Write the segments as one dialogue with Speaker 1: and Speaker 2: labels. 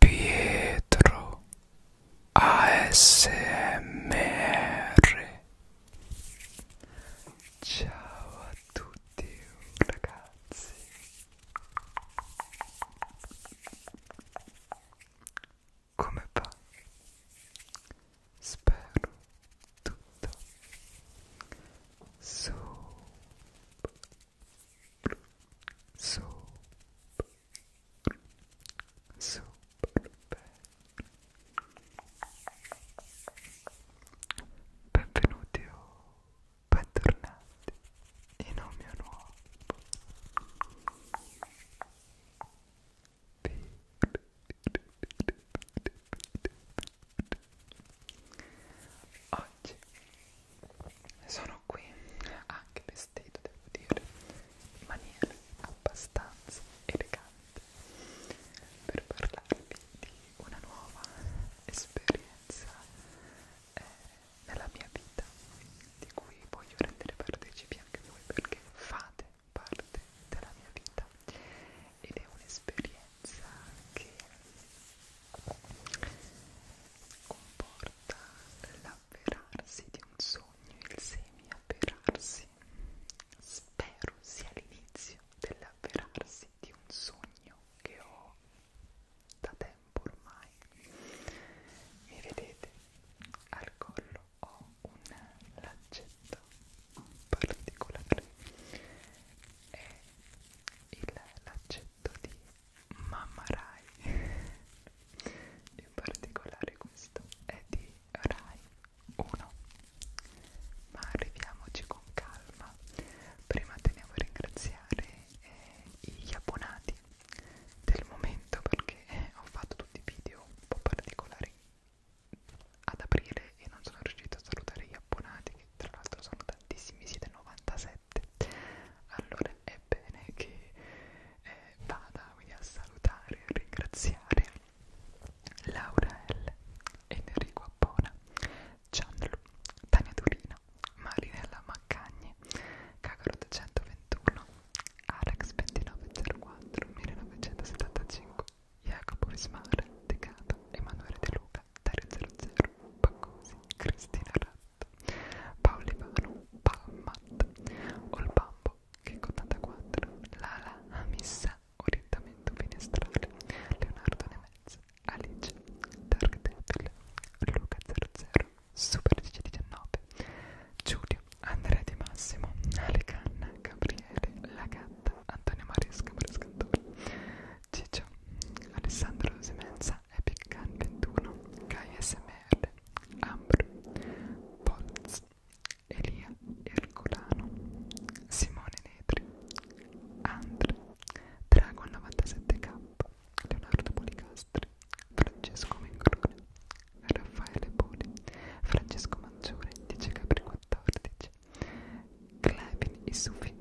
Speaker 1: Pietro ASMR Ciao a tutti ragazzi Come va? Spero tutto super soap, soap, benvenuti o oh, bentornati in un mio nuovo Oggi sono qui anche vestito devo dire in maniera abbastanza elegante per parlarvi di una nuova esperienza eh, nella mia vita di cui voglio rendere partecipi anche voi perché fate parte della mia vita ed è un'esperienza che comporta porta l'avverarsi di un sogno, il semi-avverarsi. Spero sia l'inizio dell'avverarsi di un sogno che ho da tempo ormai. Mi vedete? Al collo ho un lancetto particolare. È il lancetto di Mamma Rai in particolare questo è di Rai 1 ma arriviamoci con calma prima teniamo a ringraziare eh, gli abbonati del momento perché eh, ho fatto tutti i video un po' particolari ad aprile e non sono riuscito a salutare gli abbonati che tra l'altro sono tantissimi siete 97 7 allora è bene che eh, vada quindi a salutare e ringraziare Laura L, Enrico Appona, Gianlu, Tania Turino, Marinella Maccagni, Cacarot 121, Alex 2904, 1975, Jacopo Vismar, Decato, Emanuele De Luca, Dario 00, Paccosi, Cristina Ratto, Paolivano, Palmat, Olbambo, Checo 84, Lala, Amissa, Orientamento Finestrale, Leonardo Nemezza, Alice, Dark Devil, Luca00, Super1019, Giulio, Andrea Di Massimo, Alecanna, Gabriele, La Gatta, Antonio Maresca, Marescantore, Ciccio, Alessandro Semenza, Epic Gun 21, Kai SMR, Ambro, Polz, Elia Ercolano, Simone Netri, Andre, Dragon 97K, Leonardo Policastri, Francesco Mengrone, Raffaele Poli, Francesco Maggiore, 10 Capri 14, Clevin Isufi,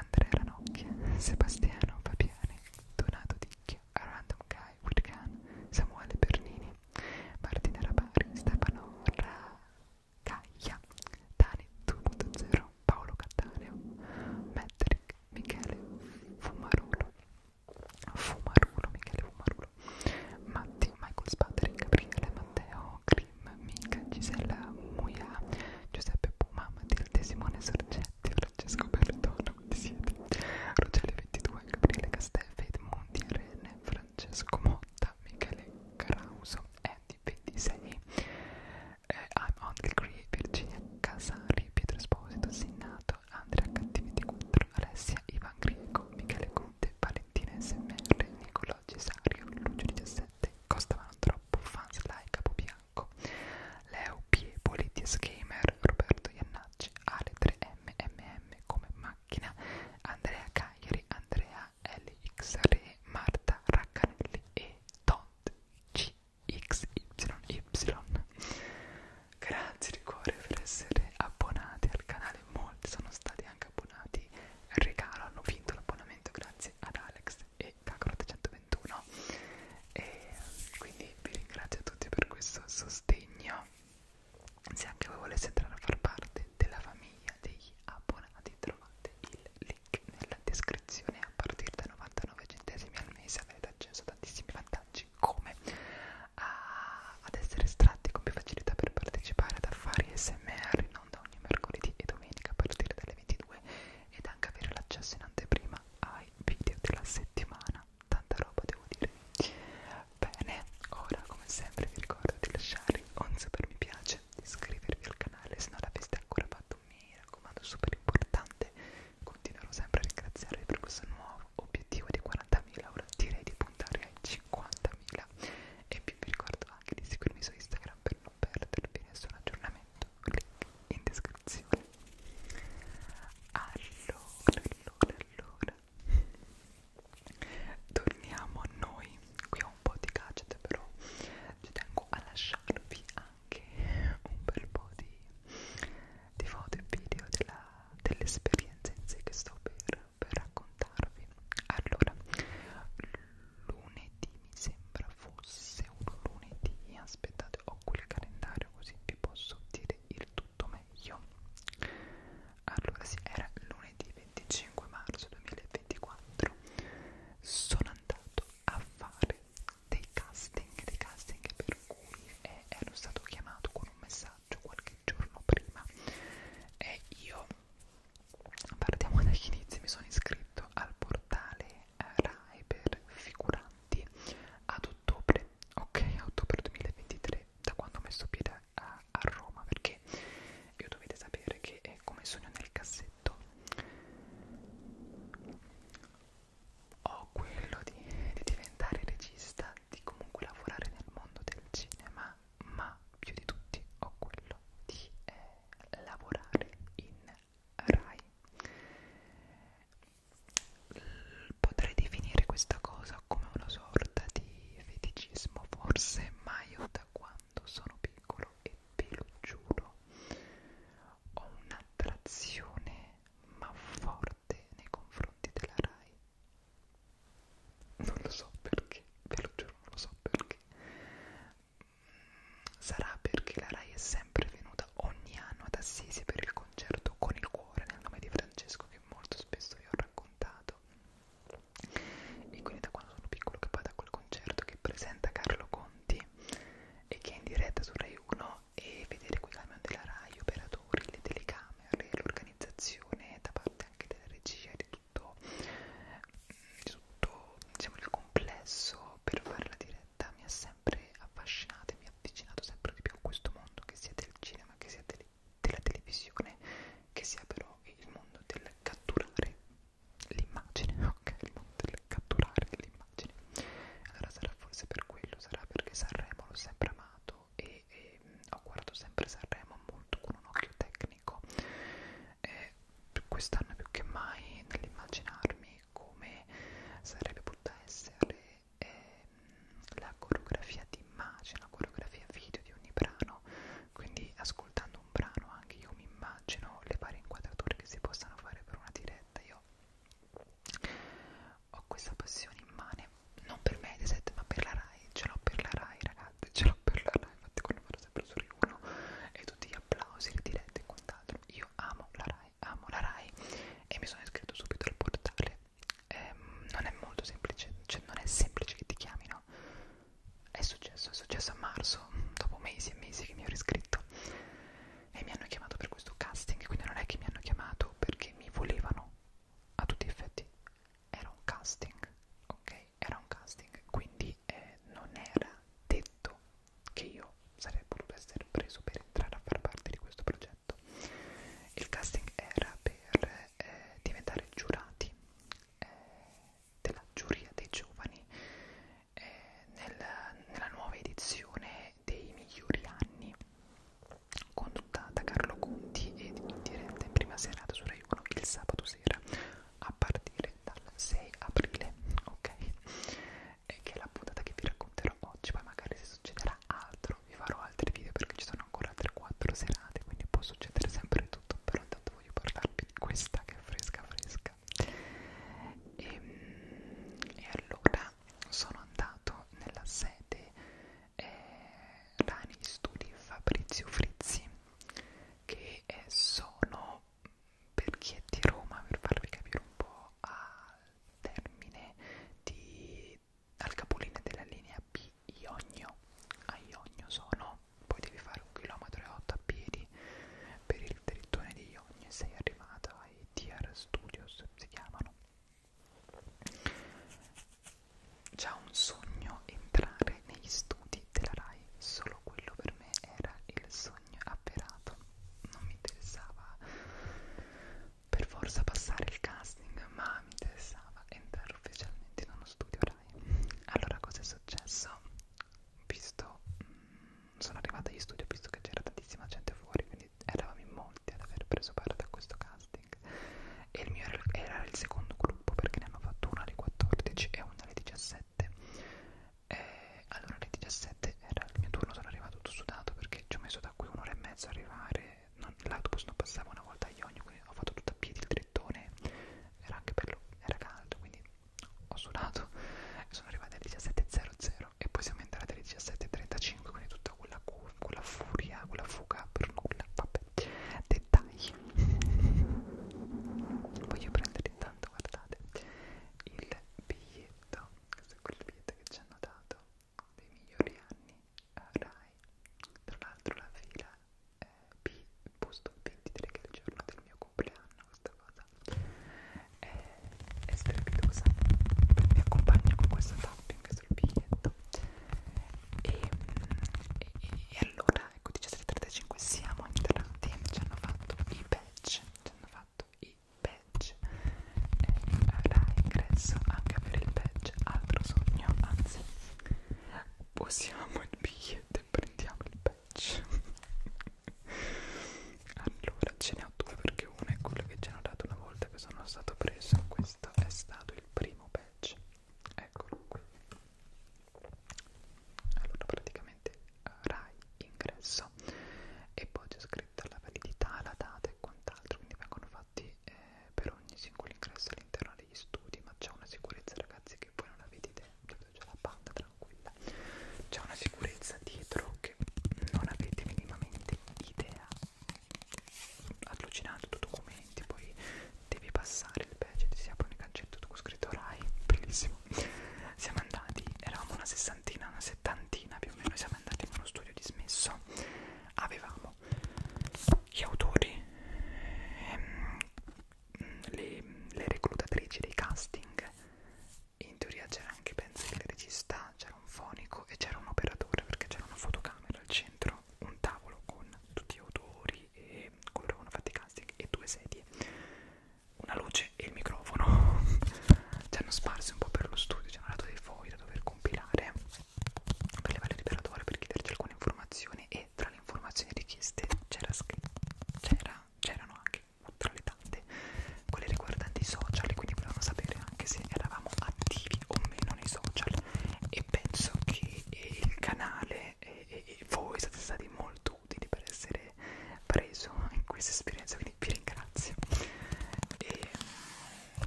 Speaker 1: Andrea Ranocchia, Sebastiano Fabiani, Donato Di a Random Guy with Gun, Samuele Bernini, Martina Rabari, Stefano Racaglia, Dani 2.0, Paolo Cattaneo, Metric, Michele Fumarulo, Fumarulo, Michele Fumarulo, Matti, Michael Spadri, Gabriele, Matteo, Grim, Mica, Gisella Muia, Giuseppe Puma, Matilde, Simone Sorgetti, Francesco Bertone, quanti siete? Rogelio 22, Gabriele Castelfi, Edmondi, Rene, Francesco Motta, Michele Carauso, Andy 26, eh, I'm on the Cree, Virginia Casari, Pietro Esposito, Sinnato, Andrea Cattiviti4, Alessia, Ivan Grieco, Michele Conte, Valentina SMR, Nicolò Cesario, Lucio 17, costavano troppo, fans like, Bobby bianco. Leo Pie, Politius Gamer, Roberto Iannacci, Ale 3MMM come macchina, Andrea Cagliari, Andrea LXRE, Marta Raccanelli e Tont CXYY. Grazie di cuore per essere abbonati al canale, molti sono stati anche abbonati regalo, hanno vinto l'abbonamento grazie ad Alex e Kakarot 121 e quindi vi ringrazio a tutti per questo sostegno se anche voi voleste entrare a far parte della famiglia degli abbonati trovate il link nella descrizione a partire da 99 centesimi al mese avrete accesso a tantissimi vantaggi come a, ad essere estratti con più facilità per partecipare ad affari SMR non da ogni mercoledì e domenica a partire dalle 22 ed anche avere l'accesso in anteprima a ai video della settimana tanta roba devo dire bene ora come sempre vi ricordo di lasciare un super mi piace di iscrivervi al canale se non l'aveste ancora fatto mi raccomando super importante continuerò sempre a ringraziarvi per questo nuovo obiettivo di 40.000 ora direi di puntare ai 50.000 e più vi ricordo anche di seguirmi su Instagram per non perdervi nessun aggiornamento sotto link in descrizione allora allora allora torniamo a noi qui ho un po' di gadget però ci tengo a lasciarvi anche un bel po' di, di foto e video dell'esperienza dell in sé che sto per, per raccontarvi allora lunedì mi sembra fosse un lunedì aspettate ho qui il calendario così vi posso dire il tutto meglio allora sì era lunedì 25 marzo 2024 sono andato a fare dei casting dei casting per cui eh, ero stato chiamato con un messaggio qualche giorno prima e io partiamo dagli inizi mi sono iscritto al portale RAE per figuranti ad ottobre, ok, a ottobre 2023, da quando ho messo piede a, a Roma, perché io dovete sapere che è come sogno nel cassetto. Ho quello di, di diventare regista, di comunque lavorare nel mondo del cinema, ma più di tutti ho quello di eh, lavorare in Rai potrei definire questa cosa come una sorta di feticismo forse ma io da quando sono piccolo e ve lo giuro ho un'attrazione ma forte nei confronti della Rai non lo so perché ve lo giuro non lo so perché sarà perché la Rai è sempre venuta ogni anno ad Assisi per il concerto con il cuore nel nome di Francesco che molto spesso vi ho raccontato e quindi da quando sono piccolo che vado a quel concerto che presenta Carlo Conti e che è in diretta su Rai 1 e vedere quei camion della Rai, operatori, le telecamere, l'organizzazione da parte anche della regia e di tutto, di tutto diciamo, il complesso per fare la diretta mi ha sempre sempre affascinata e mi ha avvicinato sempre di più a questo mondo, che sia del cinema, che sia del, della televisione, che sia però il mondo del catturare l'immagine, ok? Il mondo del catturare l'immagine. Allora sarà forse per quello, sarà perché Sanremo l'ho sempre amato e, e ho guardato sempre Sanremo molto con un occhio tecnico. Eh, quest'anno più che mai nell'immaginarmi come sarebbe potuta essere ehm, la coreografia di immagine, la coreografia video di ogni brano, quindi ascoltando un brano anche io mi immagino le varie inquadrature che si possano fare per una diretta, io ho questa passione immane, non per Mediaset ma per la Rai, ce l'ho per la Rai ragazzi, ce l'ho per la Rai, infatti quando vado sempre su Rai 1 e tutti gli applausi, le dirette e quant'altro, io amo la Rai Rai, amo la Rai e mi sono iscritto subito al portale. Ehm, non è molto semplice, cioè non è semplice che ti chiamino. È successo, è successo a marzo, dopo mesi e mesi che mi ero iscritto e mi hanno chiamato per questo casting, quindi non è che mi hanno chiamato perché mi volevano a tutti gli effetti. Era un casting, ok? Era un casting, quindi eh, non era detto che io sarei potuto essere preso per entrare a far parte di questo progetto. Il casting era per eh, diventare giurati eh, della giuria dei giovani eh, nel, nella nuova edizione dei migliori anni condotta da Carlo Conti e in diretta in prima serata su Rai 1 il sabato sera a partire dal 6 aprile ok che è la puntata che vi racconterò oggi, poi magari se succederà altro vi farò altri video perché ci sono ancora altre 4 serate, quindi può succedere sempre tutto, però intanto voglio parlarvi di questa che è fresca fresca. E, ehm, e allora sono andato nella sede eh, Rani Studi Fabrizio Frizzi che è, sono per chi è di Roma, per farvi capire un po' al termine di, al capolinea della linea B Ionio, a Ionio sono, poi devi fare un chilometro e otto a piedi per il territorio di Ionio e sei arrivato ai TR Studios, si chiamano. Già un sogno entrare negli studi della RAI, solo quello per me era il sogno sogno avverato non mi interessava per forza passare il casting ma mi interessava entrare ufficialmente in uno studio Rai allora cosa è successo? visto mh, mm, sono arrivata agli studio visto che c'era tantissima gente fuori quindi eravamo in molti ad aver preso parte a questo casting e il mio era il secondo gruppo perché ne hanno fatto una alle 14 e una alle 17 e eh, allora alle 17 era il mio turno, sono arrivato tutto sudato perché ci ho messo da qui un'ora e mezza a arrivare, non, l'autobus non passava una volta a Ionio, quindi ho fatto tutto a piedi il trittone, era anche bello, era caldo, quindi ho sudato sono arrivato alle 17.00 e poi siamo entrati alle 17.35, quindi tutta quella, quella furia, quella fuga per nulla, vabbè, dettagli. Voglio prendere intanto, guardate, il biglietto questo è quel biglietto che ci hanno dato dei migliori anni a Rai tra l'altro la fila è B, posto 23 che è il giorno del mio compleanno questa cosa è, è strepitosa mi accompagno con questo tapping sul biglietto e, e, e allora ecco 17.35 siamo entrati ci hanno fatto i badge ci hanno fatto fatto i badge e avrai ingresso anche per il badge altro sogno anzi possiamo il biglietto e prendiamo il badge allora ce ne ho due perché uno è quello che ci hanno dato una volta che sono stato preso questo è stato il primo badge eccolo qui allora praticamente Rai ingresso e poi c'è scritta la validità, la data e quant'altro, quindi vengono fatti eh, per ogni singolo ingresso all'interno degli studi, ma c'è una sicurezza ragazzi che voi non la vedete, cioè, c'è la panda tranquilla, c'è una sicurezza dietro che non avete minimamente idea, allucinante tu documenti, poi devi passare il badge, ti si apre un cancetto con scritto Rai, bellissimo, siamo andati, eravamo una sessantina, una sessantina settantina più o meno siamo andati in uno studio dismesso avevamo gli autori ehm, le, le reclutatrici dei casting in teoria c'era anche penso il regista c'era un fonico e c'era un operatore perché c'era una fotocamera al centro un tavolo con tutti gli autori e coloro che hanno fatto i casting e due sedie una luce e il microfono ci hanno sparsi un po' per lo studio ci hanno dato dei fogli da dover compilare per livello liberatore per chiederci alcune informazioni e tra le informazioni richieste c'era c'erano era, anche tra le tante quelle riguardanti i social e quindi volevano sapere anche se eravamo attivi o meno nei social e penso che il canale e, e, e voi siete stati molto utili per essere avete preso in questa esperienza quindi vi ringrazio e,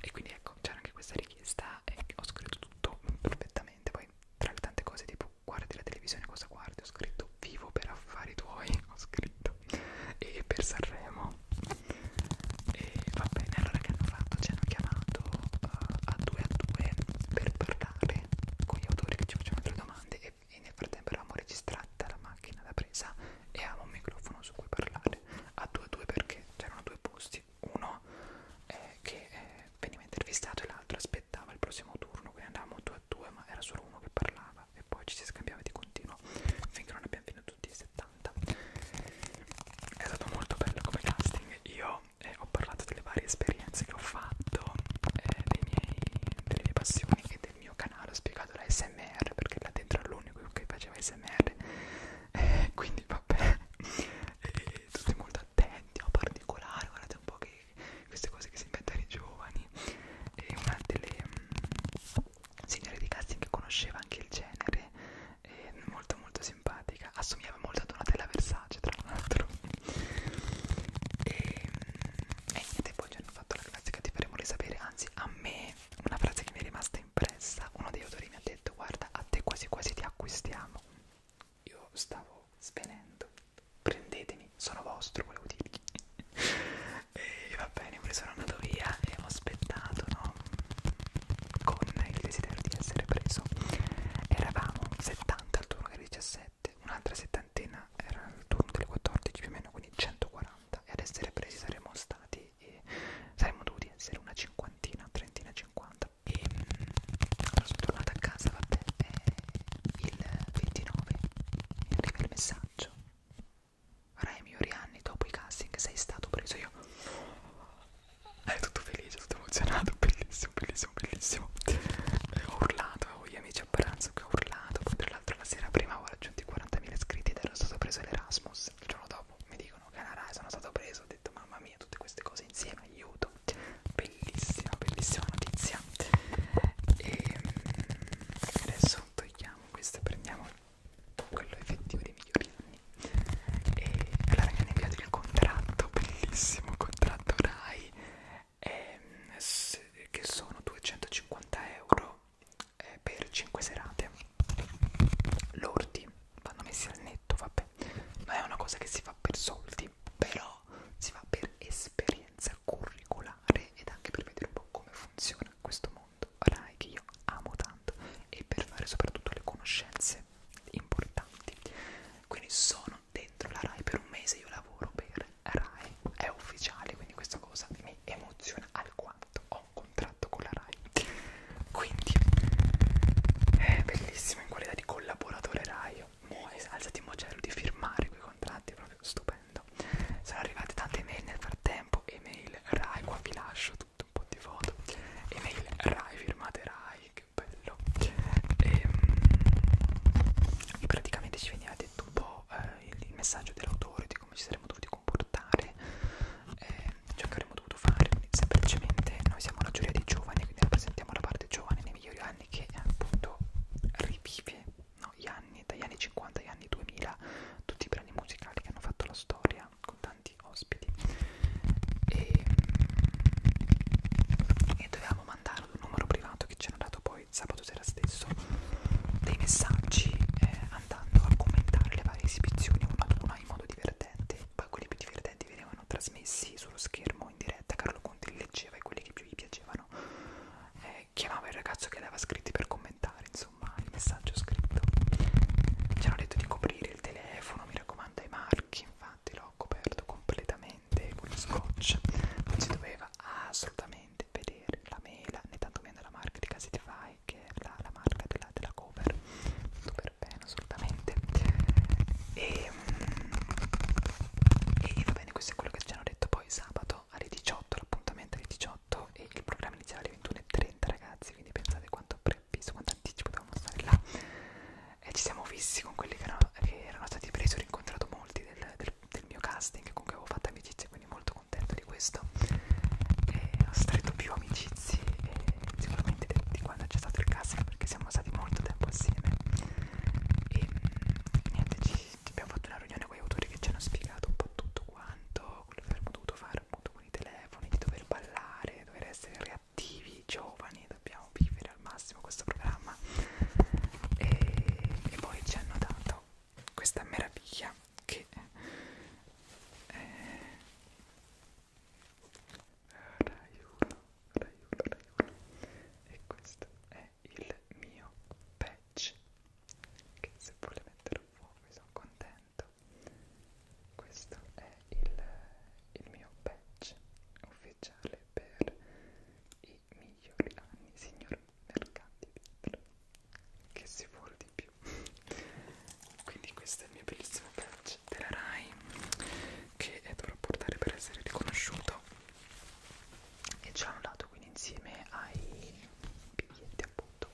Speaker 1: e quindi ecco c'era anche questa richiesta e ho scritto tutto perfettamente poi tra le tante cose tipo guardi la televisione cosa guardi ho scritto vivo per affari tuoi ho scritto e per Sanremo e va bene allora che hanno fatto ci hanno chiamato uh, a due a due per parlare con gli autori che ci facevano delle domande e e nel frattempo eravamo registrata la macchina da presa e avevamo un microfono su cui parlare a 2-2 perché c'erano due posti uno eh, che eh, veniva intervistato e l'altro aspettava il prossimo turno quindi andavamo 2 a 2 ma era solo uno che parlava e poi ci si scambiava di continuo finché non abbiamo finito tutti i 70 è stato molto bello come casting io eh, ho parlato delle varie esperienze che ho fatto eh, dei miei, delle mie passioni e del mio canale ho spiegato la SMR perché là dentro era l'unico che faceva SMR eh, quindi vabbè e tutti molto attenti a particolare guardate un po' che queste cose che si inventano i giovani e una delle mh, mm, signore di casting che conosceva anche il genere eh, molto molto simpatica assomigliava molto a Donatella Versace tra l'altro e, mm, e niente poi c'è fatto la classica ti faremo risapere, anzi a me una frase che mi è rimasta impressa, uno dei autori mi ha detto guarda a te quasi quasi ti acquistiamo, io stavo svenendo, prendetemi, sono vostro volevo dirvi e va bene, poi sono andato via e ho aspettato no? con il desiderio di essere preso, eravamo 70 al turno che 17, un'altra 70 quarantena era il turno delle 14 più o meno, quindi 140 e ad essere presi saremmo stati e eh, saremmo dovuti essere una cinquantina, trentina, cinquanta e allora mm, sono tornata a casa, vabbè, eh, il 29 mi arriva il messaggio Raimi Orianni dopo i casting sei stato preso io ero tutto felice, tutto emozionato, bellissimo, bellissimo, bellissimo ho urlato, avevo gli amici a pranzo che ho urlato, poi l'altro la sera prima ho raggiunto i 40.000 iscritti ed ero stato preso l'Erasmus. Il giorno dopo mi dicono che alla RAI sono stato preso, ho detto mamma mia, tutte queste cose insieme, aiuto. Bellissima, bellissima notizia. E ehm, adesso togliamo questo e prendiamo quello effettivo dei migliori anni. E allora mi hanno inviato il contratto, bellissimo contratto RAI. Ehm, che sono 250 euro eh, per 5 serate l'orti vanno messi al netto vabbè non è una cosa che si fa per soldi però si fa per esperienza curriculare ed anche per vedere un po' come funziona questo mondo Rai che io amo tanto e per fare soprattutto le conoscenze importanti quindi sono dentro la Rai per un mese io lavoro per Rai è ufficiale, quindi questa cosa mi emoziona alquanto. Ho un contratto con la Rai, quindi è bellissimo in qualità di collaboratore Rai. Mo' alzati in mocello di firmare quei contratti, è proprio stupendo. Sono arrivate tante email nel frattempo, email Rai, qua vi lascio tutto un po' di foto, email Rai, firmate Rai, che bello. E, ehm, e praticamente ci veniva detto un po' eh, il messaggio dell'autore, di come ci saremmo dovuti comportare, eh, ciò che avremmo dovuto fare. Quindi semplicemente noi siamo la giuria dei giovani, quindi rappresentiamo la parte giovane nei migliori anni che appunto rivive no, gli anni, dagli anni 50 agli anni 2000, tutti i brani musicali che hanno fatto la storia con tanti ospiti. E, e dovevamo mandarlo ad un numero privato che ci hanno dato poi voi sabato sera stesso dei messaggi eh, andando a commentare le varie esibizioni una ad una in modo divertente poi quelli più divertenti venivano trasmessi sullo schermo in diretta Carlo Conti li leggeva e quelli che più gli piacevano eh, chiamava il ragazzo che aveva scritti per commentare insomma il messaggio scritto ci hanno detto di coprire il telefono mi raccomando ai marchi infatti l'ho coperto completamente con gli scotch non si doveva assolutamente veramente vedere la mela né tantomeno la marca di Casify che è la, la marca della, della cover super bene assolutamente e, mm, e va bene questo è quello che ci hanno detto poi sabato alle 18 l'appuntamento alle 18 e il programma iniziale alle 21.30 ragazzi quindi pensate quanto previsto quanto anticipo dovevamo stare là e ci siamo fissi con quelli che erano, che erano stati presi ho rincontrato molti del, del del mio casting con cui avevo fatto amicizie quindi molto contento di questo e ho stretto più amicizie e sicuramente di quando c'è stato il casting perché siamo stati molto tempo assieme e niente ci, ci abbiamo fatto una riunione con gli autori che ci hanno spiegato un po' tutto quanto quello che avremmo dovuto fare appunto con i telefoni di dover ballare dover essere reattivi giovani dobbiamo vivere al massimo questo programma e, e poi ci hanno dato questa meraviglia che è eh, Rai 1, Rai 1, Rai 1 e questo è il mio patch che se vuole mettere un fuoco sono contento questo è il, il mio patch ufficiale per i migliori anni signor mercati dentro che si vuole di più quindi questa è il mio bellissimo badge della Rai che dovrò portare per essere riconosciuto e c'è un lato quindi insieme ai biglietti appunto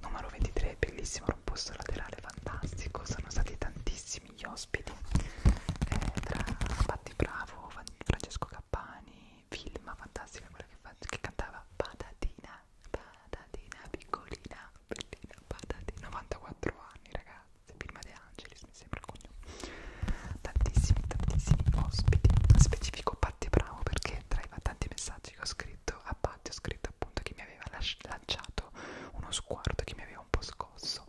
Speaker 1: numero 23 bellissimo era un posto laterale fantastico sono stati tantissimi gli ospiti eh, tra Patti Bravo Francesco Cappani film, fantastica quella che, fa, che cantava Patatina, Patatina piccolina, bellina Patatina, 94 anni ragazzi, prima De Angelis mi sembra cognome, tantissimi tantissimi ospiti, specifico Patti Bravo perché tra i tanti messaggi che ho scritto a Patti ho scritto appunto che mi aveva lanciato uno sguardo che mi aveva un po' scosso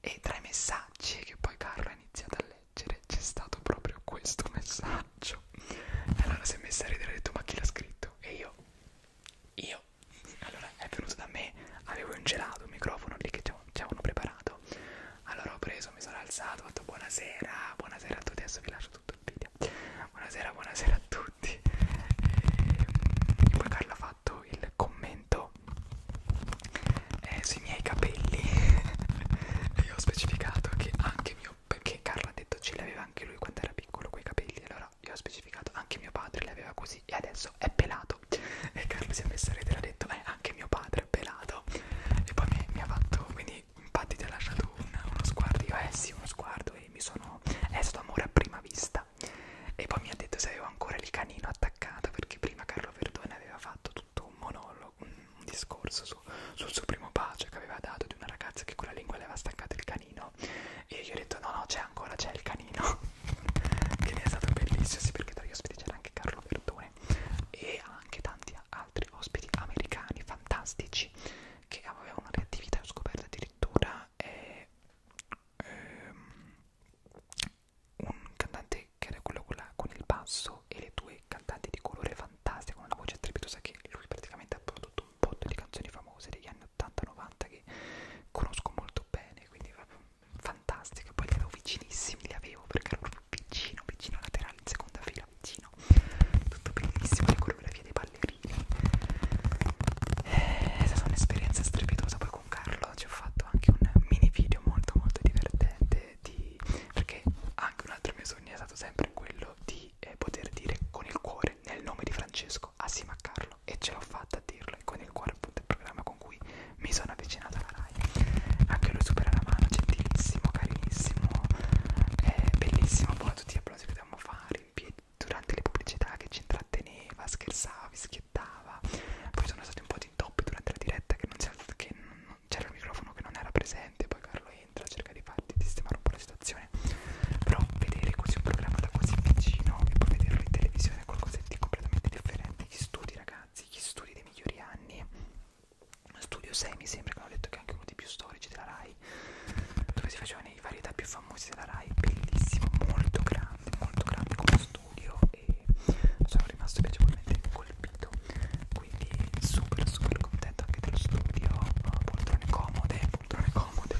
Speaker 1: e tra i messaggi che poi Carlo ha iniziato a leggere leggere c'è stato proprio questo messaggio e allora si è messa a ridere e ha detto ma chi l'ha scritto? E io, io, allora è venuto da me, avevo un gelato, un microfono lì che ci avevano preparato allora ho preso, mi sono alzato, ho detto buonasera, buonasera a tutti, adesso vi lascio tutto il video buonasera, buonasera a tutti e poi Carla ha fatto il commento eh, sui miei capelli e io ho specificato che anche mio perché Carlo ha detto ce l'aveva anche lui quando era piccolo quei capelli allora io ho specificato anche mio padre li aveva così e adesso è pelato e Carlo si è messo a ridere ha detto eh anche mio padre è pelato e poi mi, mi ha fatto quindi infatti ti ha lasciato un, uno sguardo io eh sì uno sguardo e mi sono è stato amore a prima vista e poi mi ha detto se avevo ancora il canino attaccato perché prima Carlo Verdone aveva fatto tutto un monologo, un discorso su, sul suo primo bacio che aveva dato di una ragazza che con la lingua le aveva staccato il canino e io ho detto no no c'è ancora, c'è il canino che ne è stato bellissimo, sì perché tra gli ospiti c'era anche Carlo Verdone e anche tanti altri ospiti americani fantastici che avevano reattività ho scoperto addirittura eh, ehm, un cantante che era quello con, la, con il basso Lorenzo e le due cantanti di colore fantastica con una voce strepitosa che lui praticamente ha prodotto un po' di canzoni famose degli anni 80-90 che conosco molto bene, quindi fantastica, poi li avevo vicinissimi, li avevo perché ero proprio vicino, vicino laterale, in seconda fila, vicino, tutto bellissimo, le coreografie dei ballerini, eh, è stata un'esperienza strepitosa, poi con Carlo ci ho fatto anche un mini video molto molto divertente eh, di perché anche un altro mio sogno è stato sempre quello di eh, poter dire con il cuore nel nome di Francesco assieme ah, a Carlo e ce l'ho fatta a dirlo e con il cuore appunto il programma con cui mi sono avvicinata alla Rai anche lui supera la mano gentilissimo carinissimo eh, bellissimo buono tutti gli applausi che dobbiamo fare in piedi durante le pubblicità che ci intratteneva scherzava vi schiettava poi sono stati un po' di intoppi durante la diretta che non, si, che c'era il microfono che non era presente, poi Carlo entra, cerca di farti di sistemare un po' la situazione. Però vedere così un programma da così vicino e poi vederlo in televisione è qualcosa di completamente differente. Gli studi, ragazzi, gli studi dei migliori anni. Studio 6 mi sembra che hanno detto che è anche uno dei più storici della Rai, dove si facevano i varietà più famosi della Rai, bellissimo, molto grande, molto grande come studio e sono rimasto piacevolmente colpito quindi super super contenta anche dello studio poltrone comode poltrone comode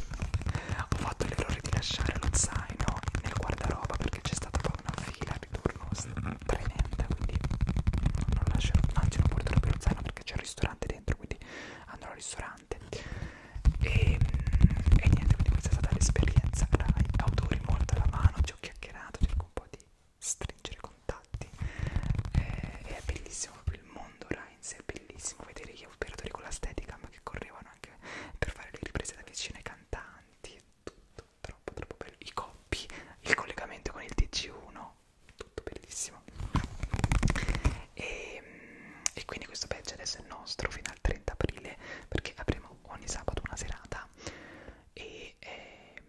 Speaker 1: ho fatto l'errore di lasciare lo zaino nel guardaroba perché c'è stata poi una fila ritorno tremenda quindi non lascerò anzi non porterò più lo zaino perché c'è il ristorante dentro quindi andrò al ristorante e, e niente quindi questa è stata l'esperienza Rai autori molto alla mano ci ho chiacchierato cerco un po' di stringere contatti eh, e è bellissimo proprio il mondo Rai in sé è bellissimo vedere gli operatori con la stetica ma che correvano anche per fare le riprese da vicino ai cantanti e tutto troppo troppo bello i coppi il collegamento con il TG1 tutto bellissimo e, ehm, e quindi questo badge adesso è nostro fino al 30 aprile perché avremo ogni sabato una serata e ehm,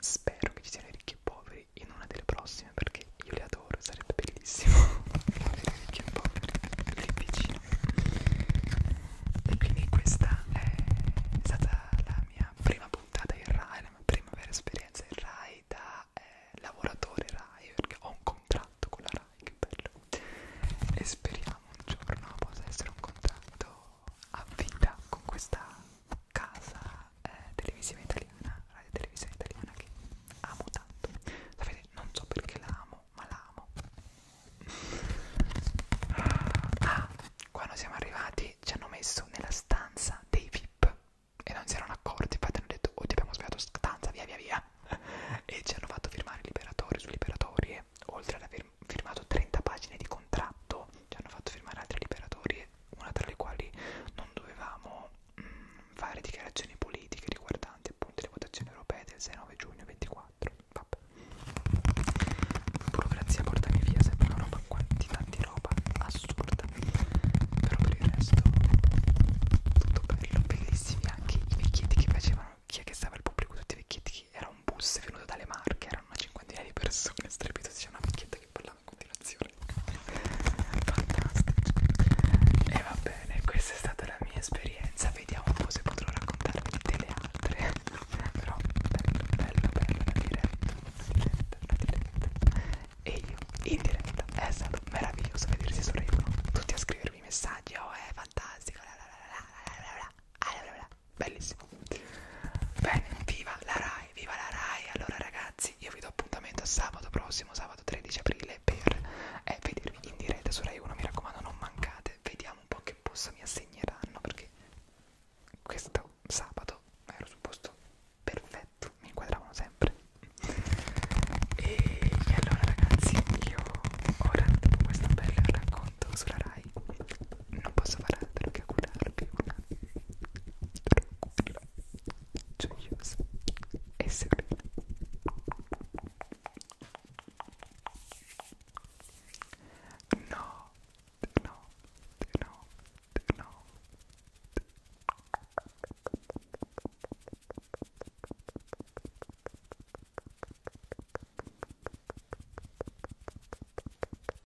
Speaker 1: spero che ci siano ricchi e poveri in una delle prossime perché io le adoro, sarebbe bellissimo avere ricchi e poveri lì vicino. E quindi questa è stata la mia prima puntata in Rai, la mia prima vera esperienza in Rai da eh, lavoratore Rai perché ho un contratto con la Rai, che bello. E speriamo un giorno possa essere un contratto a vita con questa casa eh, televisiva italiana, radio televisione italiana che amo tanto. Sapete, non so perché la amo, ma la amo. Ah, quando siamo arrivati ci hanno messo nella stanza dei VIP e non si erano accorti, infatti hanno detto oh ti abbiamo sbagliato stanza, via via via e ci hanno fatto firmare liberatori su liberatorie oltre ad aver firmato 30 pagine di contratto ci hanno fatto firmare altre liberatorie una tra le quali non dovevamo mh, mm, fare dichiarazioni politiche riguardanti appunto le votazioni europee del 6-9 giugno 24. Vabbè. Burocrazia portami via, sempre una roba quantità di roba assurda. Però per il resto tutto bello, bellissimi anche i vecchietti che facevano chi è che stava al pubblico, tutti i vecchietti era un bus venuto dalle Marche, erano una cinquantina di persone, strepito c'era una vecchietta che parlava a continuazione fantastico e va bene questa è stata la mia esperienza vediamo un po' se potrò raccontarvi delle altre però bello bello bello la diretta la diretta la diretta e io in diretta è stato meraviglioso vedersi sorridono tutti a scrivermi messaggi oh è fantastico la la la la la la la la la la la bellissimo bene viva la Rai viva la Rai allora ragazzi io vi do appuntamento sabato prossimo sabato 13 aprile per eh, vedervi in diretta su Rai 1 mi raccomando non mancate vediamo un po' che posto mi assegneranno perché questo sabato ero su posto perfetto mi inquadravano sempre e, e allora ragazzi io ora dopo questo bel racconto sulla Rai No puedo hablar de lo que cura, lo que cura. Lo que cura. No, no, no, no.